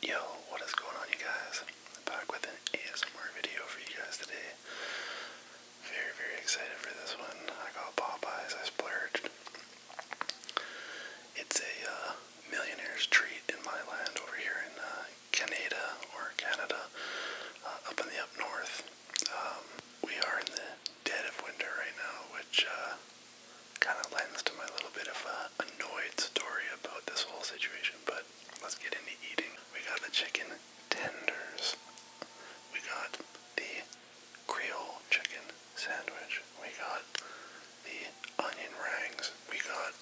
Yo, what is going on you guys? I'm back with an ASMR video for you guys today. Very, very excited for this one. I got Popeyes, I splurged. It's a uh, millionaire's treat in my land over here in uh, Canada or Canada, uh, up in the up north. Um, we are in the dead of winter right now, which uh, kind of lends to my little bit of a annoyed story about this whole situation. But let's get into eating. We got the chicken tenders. We got the Creole chicken sandwich. We got the onion rings. We got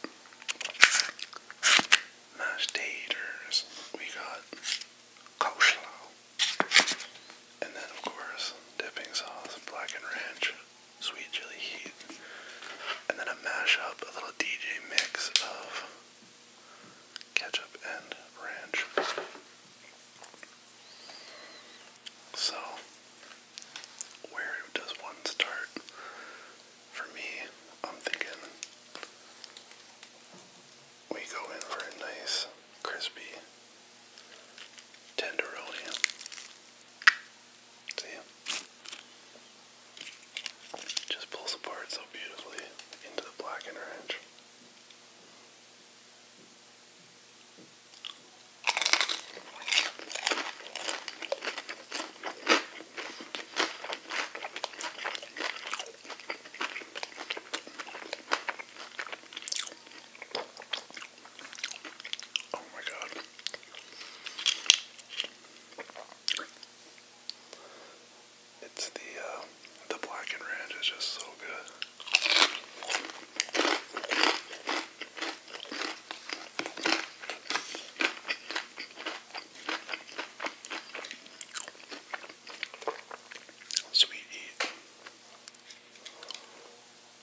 mashed taters. We got coleslaw. And then, of course, dipping sauce, black and ranch sweet chili heat, and then a mashup, a little DJ mix of ketchup and ranch. So, where does one start? For me, I'm thinking we go in for a nice, crispy tenderoni. See? just pulls apart so beautifully into the black and orange. Oh my god. It's the uh, the black and ranch is just so good. Sweet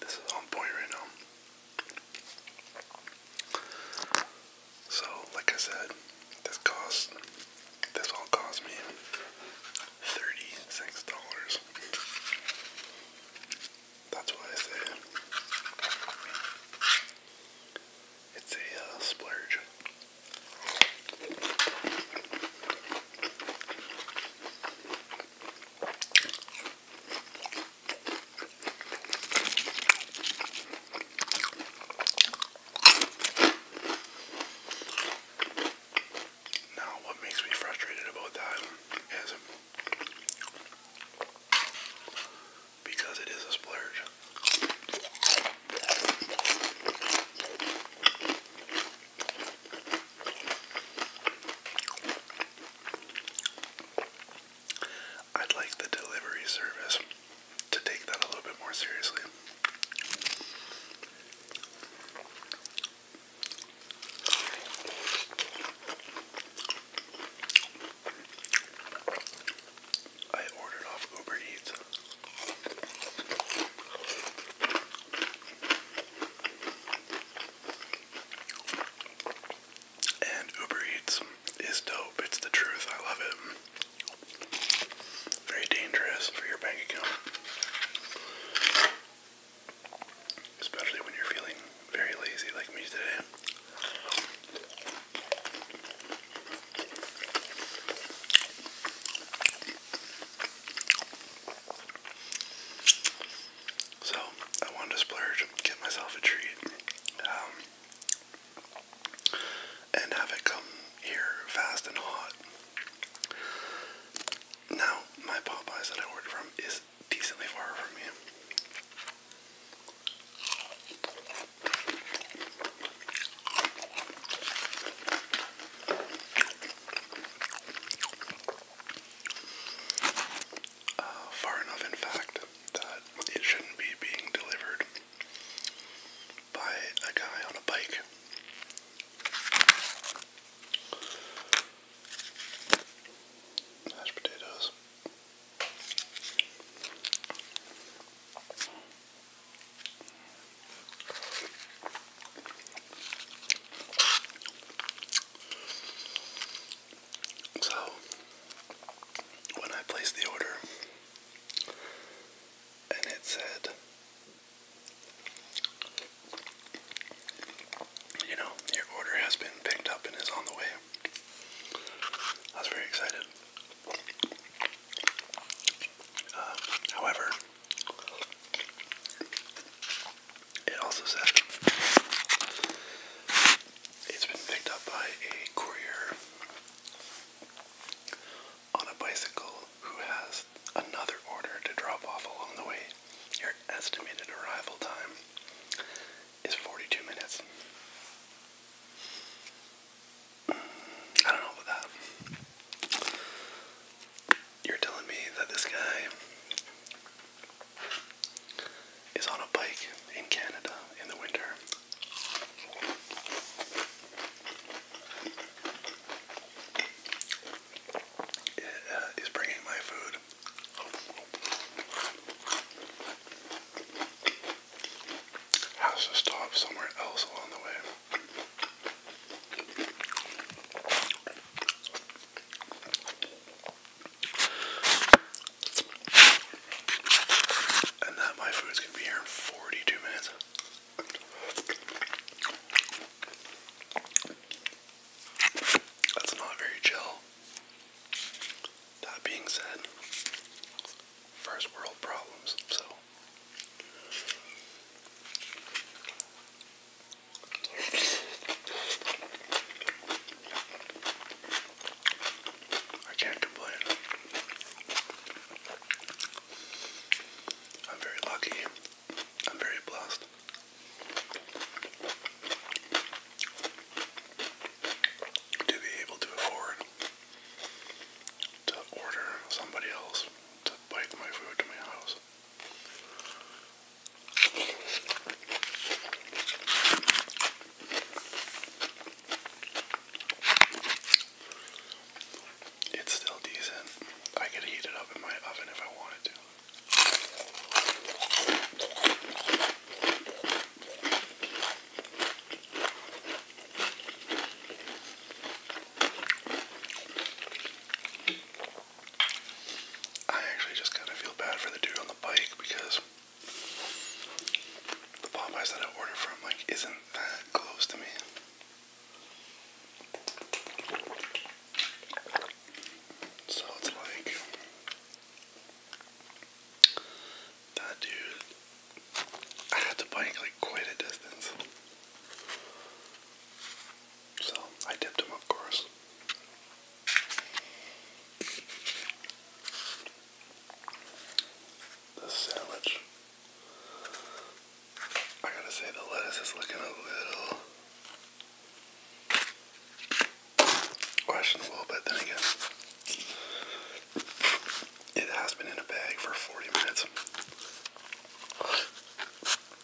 This is on point right now. So, like I said, this cost this all cost me thirty-six dollars. That's why I say it's a uh, splurge. Now, what makes me frustrated about that is because it is a splurge. I'd like the delivery service to take that a little bit more seriously. I ordered off Uber Eats. And Uber Eats is dope. It's the truth. I love it. Very dangerous for your bank account. Especially when you're feeling very lazy like me today. So I wanted to splurge, get myself a treat, um, and have it come here fast and hot. Now, my Popeyes that I ordered from is decently far from me. Uh, far enough, in fact, that it shouldn't be being delivered by a guy on a bike. Mashed potatoes. So, when I placed the order, and it said, you know, your order has been picked up and is on the way. I was very excited. Uh, however, it also said it's been picked up by a courier on a bicycle who has another order to drop off along the way. Your estimated arrival time is 42 minutes. I don't know about that. You're telling me that this guy is on a bike in Canada in the winter. It bringing my food. Has to stop somewhere else along the way. And that my food's gonna be here in 42 minutes. That's not very chill. That being said, first world problems, so I can't complain. I'm very lucky. I'm very blessed. To be able to afford to order somebody else to bike my food to my house. It's still decent. I could heat it up in my oven if I wanted to. I actually just kind of feel bad for the dude on the bike because the Popeyes that I ordered from like isn't that close to me. So it's like that dude had to bike like quite a distance. So I tipped him, of course. The sandwich. I gotta say, the lettuce is looking a little questionable, but then again, it has been in a bag for 40 minutes.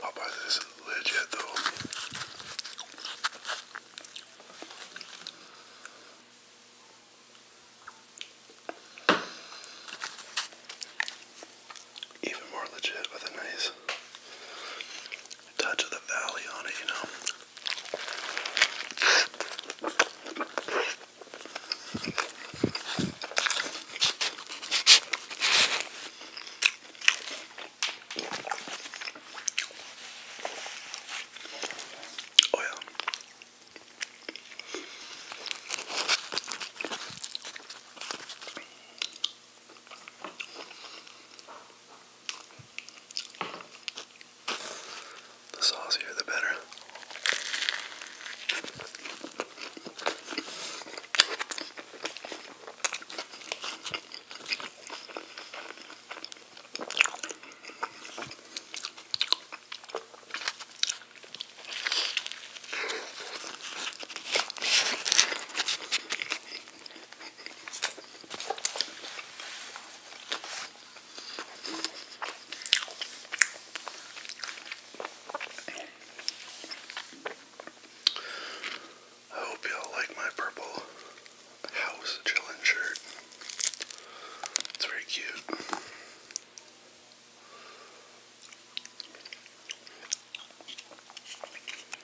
Popeyes is legit though. Even more legit with a nice touch of the valley on it, you know. Oh, the saucier, the better. I hope y'all like my purple house chillin' shirt. It's very cute.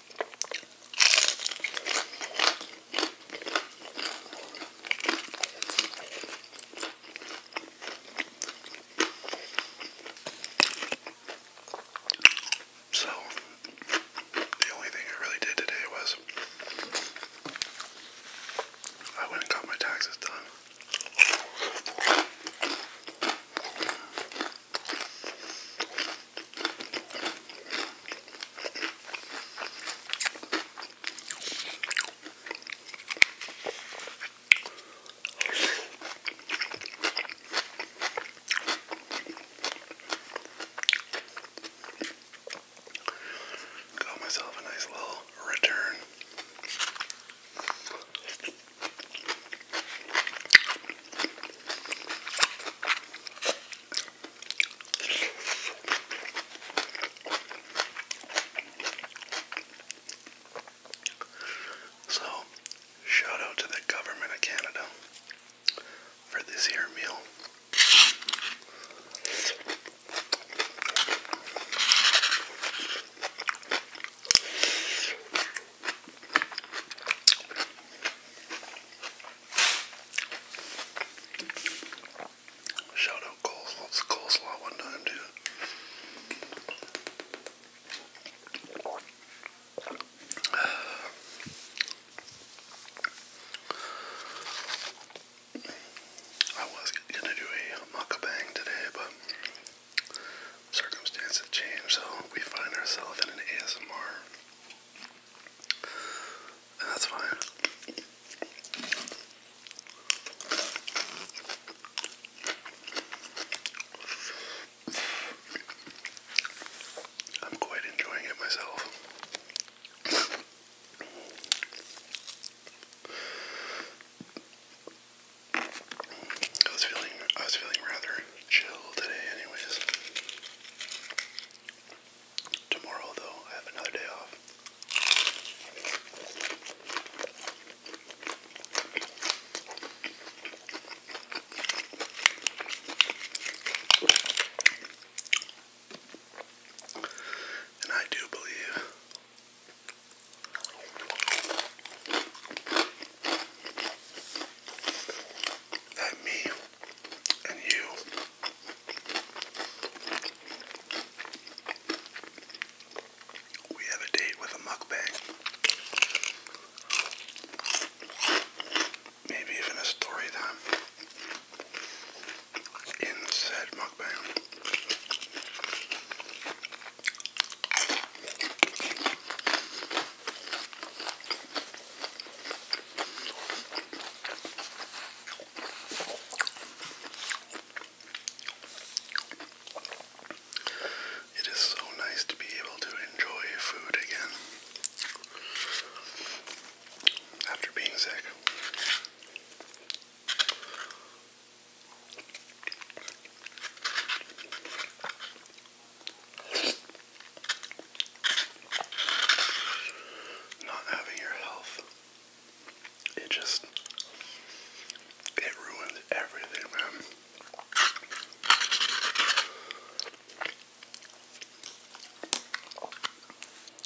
So, the only thing I really did today was I went and got my taxes done. Got myself a nice little return. So, shout out to the government of Canada for this here meal. Shout out coleslaw, it's coleslaw one time too. I was gonna do a mukbang today, but circumstances have changed, so we find ourselves in an ASMR that's fine. I'm quite enjoying it myself. I was feeling I was feeling rather chill today anyways. Tomorrow, though, I have another day off. And I do believe that me and you we have a date with a mukbang. Maybe even a story time in said mukbang. It is so nice to be able to enjoy food again after being sick. Not having your health. It just it ruined everything, man.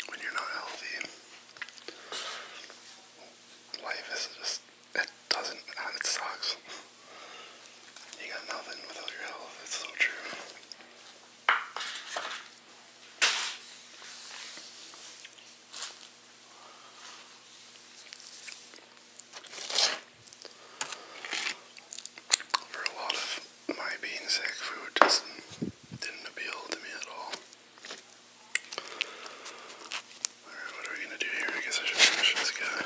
When you're not healthy, life is just it doesn't it sucks. You got nothing without your health, it's so true. For a lot of my being sick, food just didn't appeal to me at all. Alright, what are we gonna do here? I guess I should finish this guy.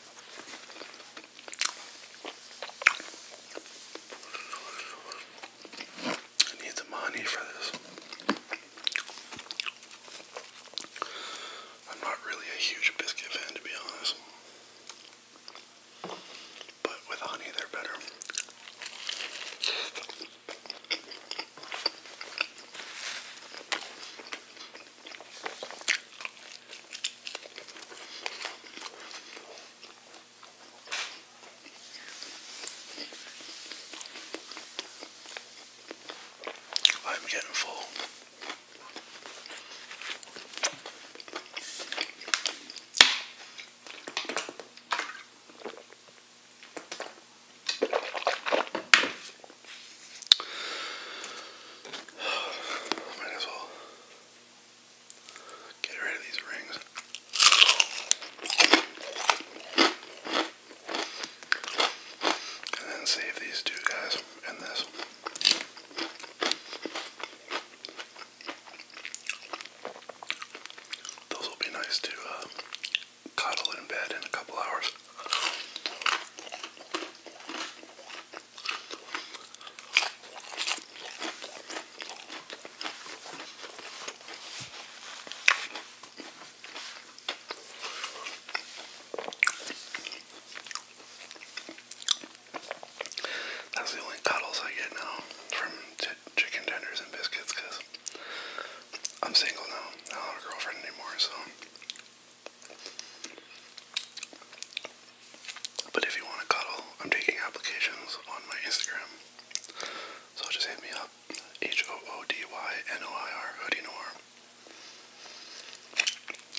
I need the money for this. I'm not really a huge biscuit fan, to be honest. But with honey, they're better. I'm getting full. I might as well get rid of these rings. And then save these two guys and this. Those will be nice to uh, cuddle in bed in a couple hours. That's the only cuddles I get now from chicken tenders and biscuits because I'm single now. I don't have a girlfriend anymore, so but if you want to cuddle, I'm taking applications on my Instagram. So just hit me up. H O O D Y N O I R Hoodie Noir.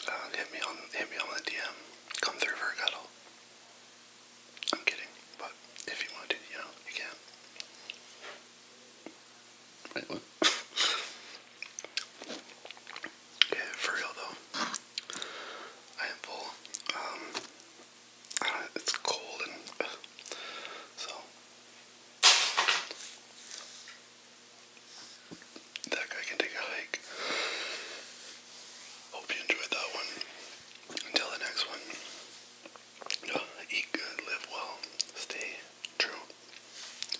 Uh, hit me on hit me on the DM. Come through for a cuddle. I'm kidding, but if you want to, you know, you can. Right what? Yeah, for real though. I am full. Um, uh, it's cold and uh, so that guy can take a hike. Hope you enjoyed that one. Until the next one, eat good, live well, stay true.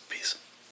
Peace.